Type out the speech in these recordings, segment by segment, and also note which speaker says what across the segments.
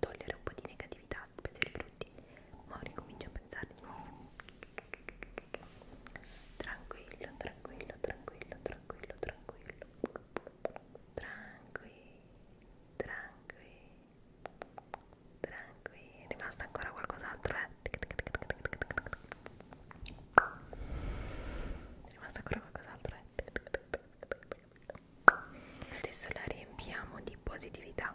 Speaker 1: togliere un po' di negatività, pensieri brutti, ma ricomincio a pensare di nuovo. Tranquillo, tranquillo, tranquillo, tranquillo, tranquillo. Tranquillo, tranquillo, tranquillo. È rimasto ancora qualcos'altro, eh? È rimasto ancora qualcos'altro, eh? Adesso la riempiamo di positività.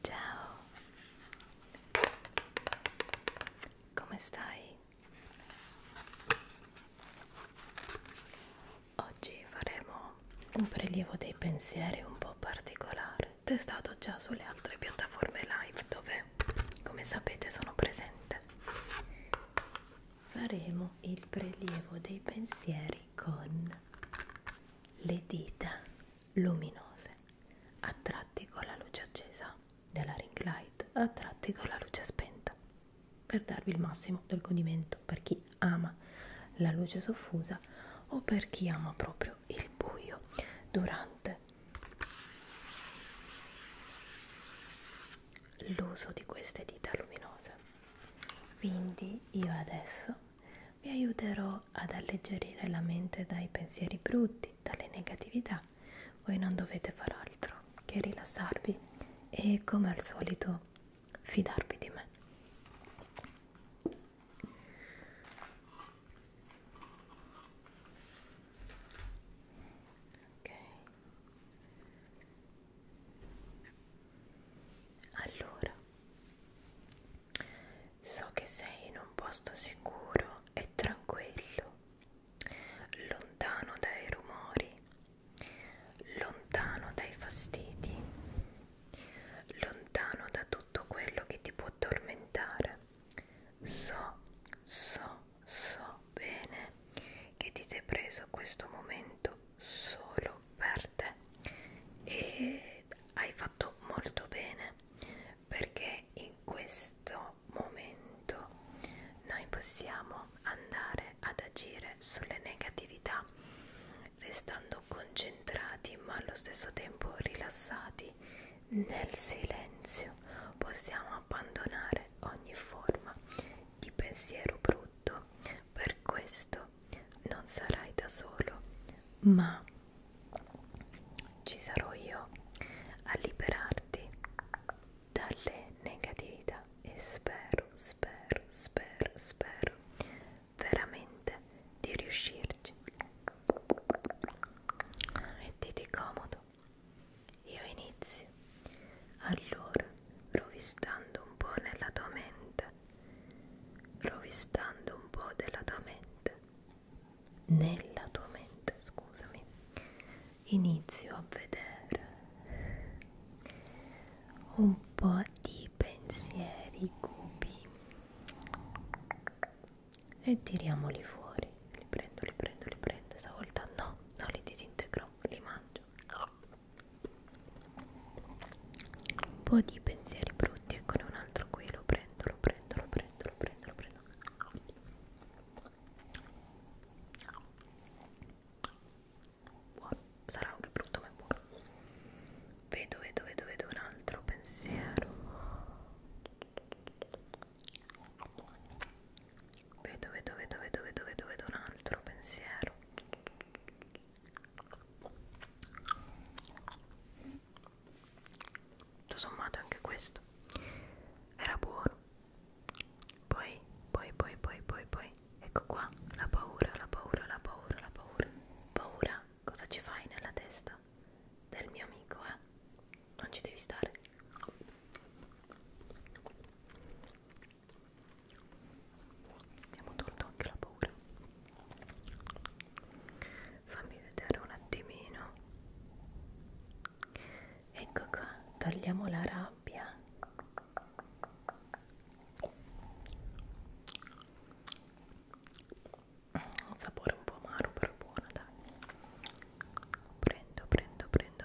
Speaker 1: Ciao, come stai? Oggi faremo un prelievo dei pensieri un po' particolare, testato già sulle altre piattaforme live dove, come sapete, sono presente faremo il prelievo dei pensieri con le dita luminose attratti con la luce accesa della ring light attratti con la luce spenta per darvi il massimo del godimento per chi ama la luce soffusa o per chi ama proprio il buio durante l'uso di queste dita luminose quindi io adesso vi aiuterò ad alleggerire la mente dai pensieri brutti dalle negatività voi non dovete far altro che rilassarvi e come al solito fidarvi di me ok allora, so che sei in un posto sicuro e tranquillo, lontano dai rumori, lontano dai fastidi, lontano da tutto quello che ti può tormentare. So, so so bene che ti sei preso questo momento solo per te e hai fatto molto bene perché in questo momento noi possiamo andare ad agire sulle negatività restando concentrati ma allo stesso tempo rilassati nel silenzio possiamo abbandonare ogni forma di pensiero brutto, per questo non sarai da solo, ma ci sarò io a liberarti dalle negatività e spero, spero, spero, spero veramente di riuscirci. Mettiti comodo, io inizio. Allora, rovistando un po' nella tua mente, rovistando un po' della tua mente, nella tua mente, scusami, inizio a vedere un po' di pensieri cubi e tiriamoli fuori. Li prendo, li prendo, li prendo. Stavolta no, non li disintegrò, li mangio un po' di pensieri brutti eccone un altro qui lo prendo lo prendo lo prendo lo prendo lo prendo buono sarà anche brutto ma è buono vedo vedo vedo vedo un altro pensiero Vedo, vedo, vedo, vedo, vedo, vedo, vedo un altro pensiero. Tutto sommato anche questo era buono. Poi, poi, poi, poi, poi, poi, ecco qua, la paura, la paura, la paura, la paura. Paura, cosa ci fai nella testa del mio amico, eh? Non ci devi stare. Abbiamo tolto anche la paura. Fammi vedere un attimino. Ecco qua, togliamo la rabbia. Un sapore un po' amaro, però buono, dai. Prendo, prendo, prendo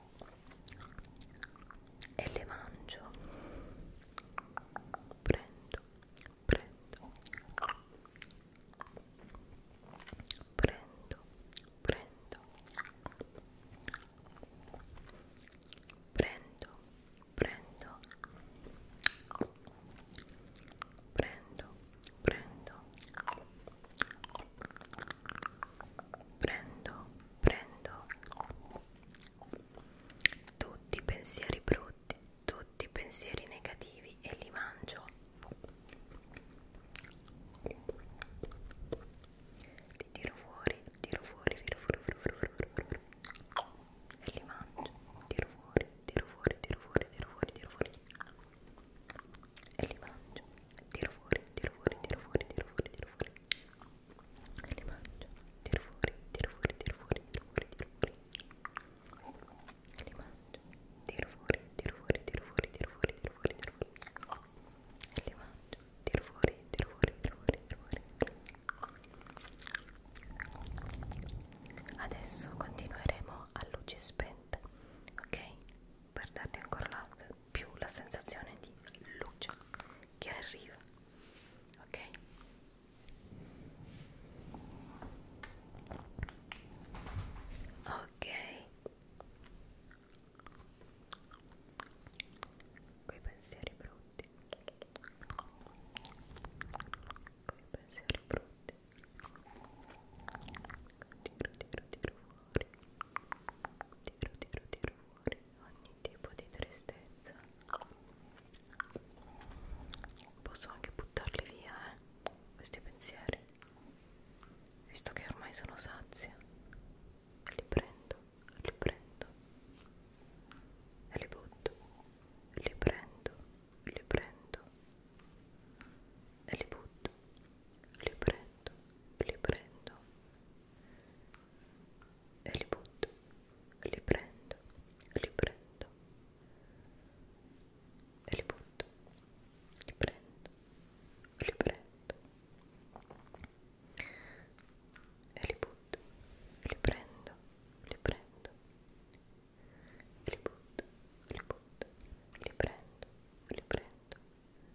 Speaker 1: e le mangio prendo prendo prendo prendo prendo prendo prendo prendo prendo prendo tutti i pensieri brutti, tutti i pensieri negativi e li mangio. Li tiro fuori, tiro fuori, tiro fuori, tiro fuori, tiro fuori, e li mangio. Tiro fuori, tiro fuori, tiro fuori, tiro fuori, tiro fuori, e li mangio. Tiro fuori, tiro fuori, tiro fuori, tiro fuori, tiro fuori li mangio, tiro fuori, tiro fuori, tiro fuori, tiro fuori, tiro fuori li mangio, tiro fuori, tiro fuori, tiro fuori, tiro fuori, tiro fuori, tiro fuori e li mangio, tiro fuori, tiro fuori, tiro fuori, tiro fuori adesso continueremo a luci spente, ok? per darti ancora la, più la sensazione di luce che arriva ok ok quei pensieri brutti quei pensieri brutti tiro tiro tiro fuori tiro tiro tiro dolori, ogni tipo di tristezza posso anche buttarli via eh, questi pensieri visto che ormai sono sazia li prendo, li prendo e li butto li prendo, li prendo e li butto li prendo, li prendo e li butto, li prendo, li prendo e li butto, li prendo, li prendo e li butto, li prendo, li prendo e li butto, li butto, li prendo, li prendo e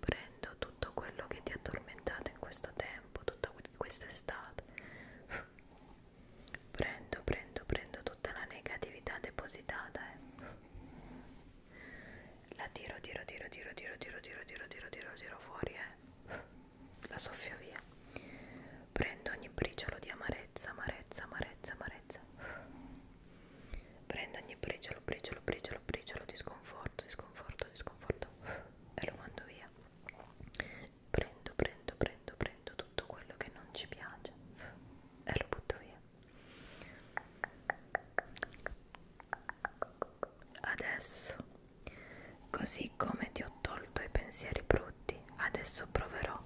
Speaker 1: Prendo tutto quello che ti ha tormentato in questo tempo, tutta quest'estate. Prendo, prendo, prendo tutta la negatività depositata. Eh. La tiro, tiro, tiro, tiro, tiro, tiro, tiro, tiro, tiro, tiro, tiro fuori. Eh la soffio via prendo ogni briciolo di amarezza amarezza amarezza amarezza prendo ogni briciolo briciolo briciolo briciolo di sconforto di sconforto di sconforto e lo mando via prendo prendo prendo prendo tutto quello che non ci piace e lo butto via adesso Così come ti ho tolto i pensieri brutti, adesso proverò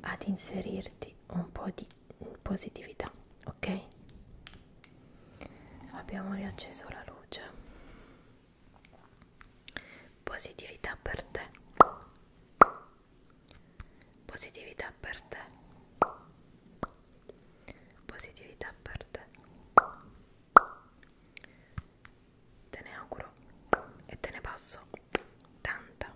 Speaker 1: ad inserirti un po' di positività, ok? Abbiamo riacceso la luce. Positività per te. Positività per te. Positività per te te ne auguro e te ne passo tanta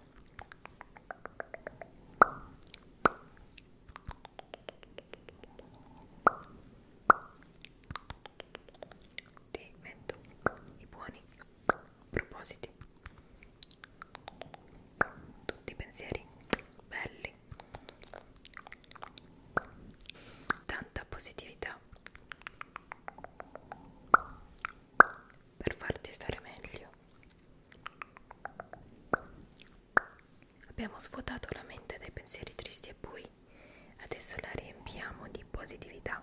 Speaker 1: ti metto i buoni propositi tutti i pensieri belli altri tanta positività per farti stare meglio abbiamo svuotato la mente dai pensieri tristi e bui adesso la riempiamo di positività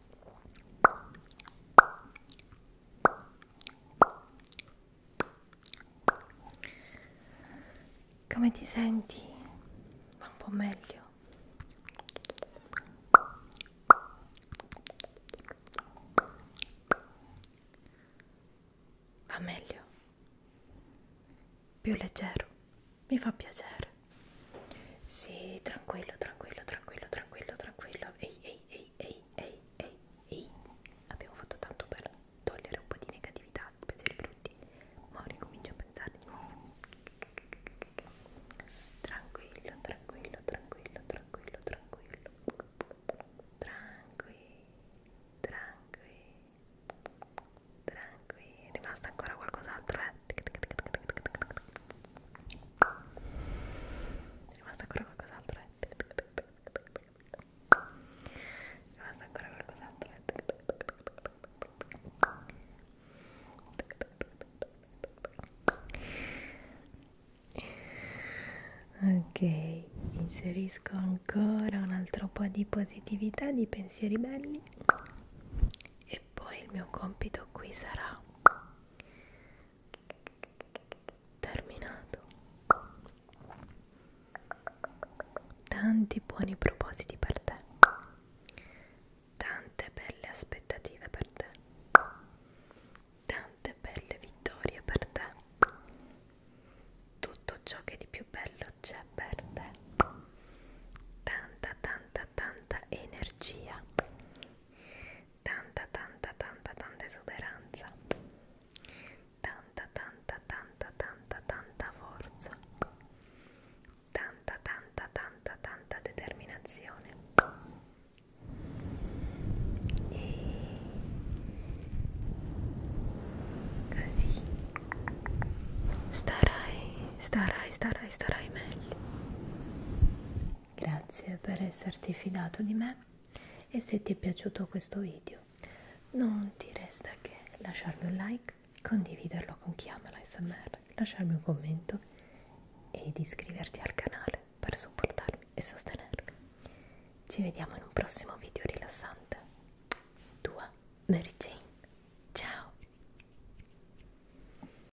Speaker 1: Come ti senti? Va un po' meglio. Va meglio. Più leggero. Mi fa piacere. Sì, tranquillo, tranquillo, tranquillo, tranquillo, tranquillo. Ehi, ehi, ehi, ehi, ehi, ehi, ehi. Abbiamo fatto tanto per togliere un po' di negatività, di pensieri brutti. Ma ricomincio a pensare di nuovo. Tranquillo, tranquillo, tranquillo, tranquillo, tranquillo. Tranquillo, tranquillo. Tranquillo, è rimasto ancora qualcos'altro, eh? È rimasto ancora qualcos'altro, eh? È rimasto ancora qualcos'altro, eh? Ok, inserisco ancora un altro po' di positività, di pensieri belli e poi il mio compito qui sarà terminato tanti buoni propositi per te tante belle aspettative per te tante belle vittorie per te tutto ciò che di più bello c'è per te tanta tanta tanta energia tanta tanta tanta tanta esuberanza tanta tanta tanta tanta tanta forza tanta tanta tanta tanta determinazione e così starai starai starai starai meglio Grazie per esserti fidato di me e se ti è piaciuto questo video non ti resta che lasciarmi un like, condividerlo con chi ama l'ASMR, lasciarmi un commento ed iscriverti al canale per supportarmi e sostenermi. Ci vediamo in un prossimo video rilassante. Tua Mary Jane. Ciao!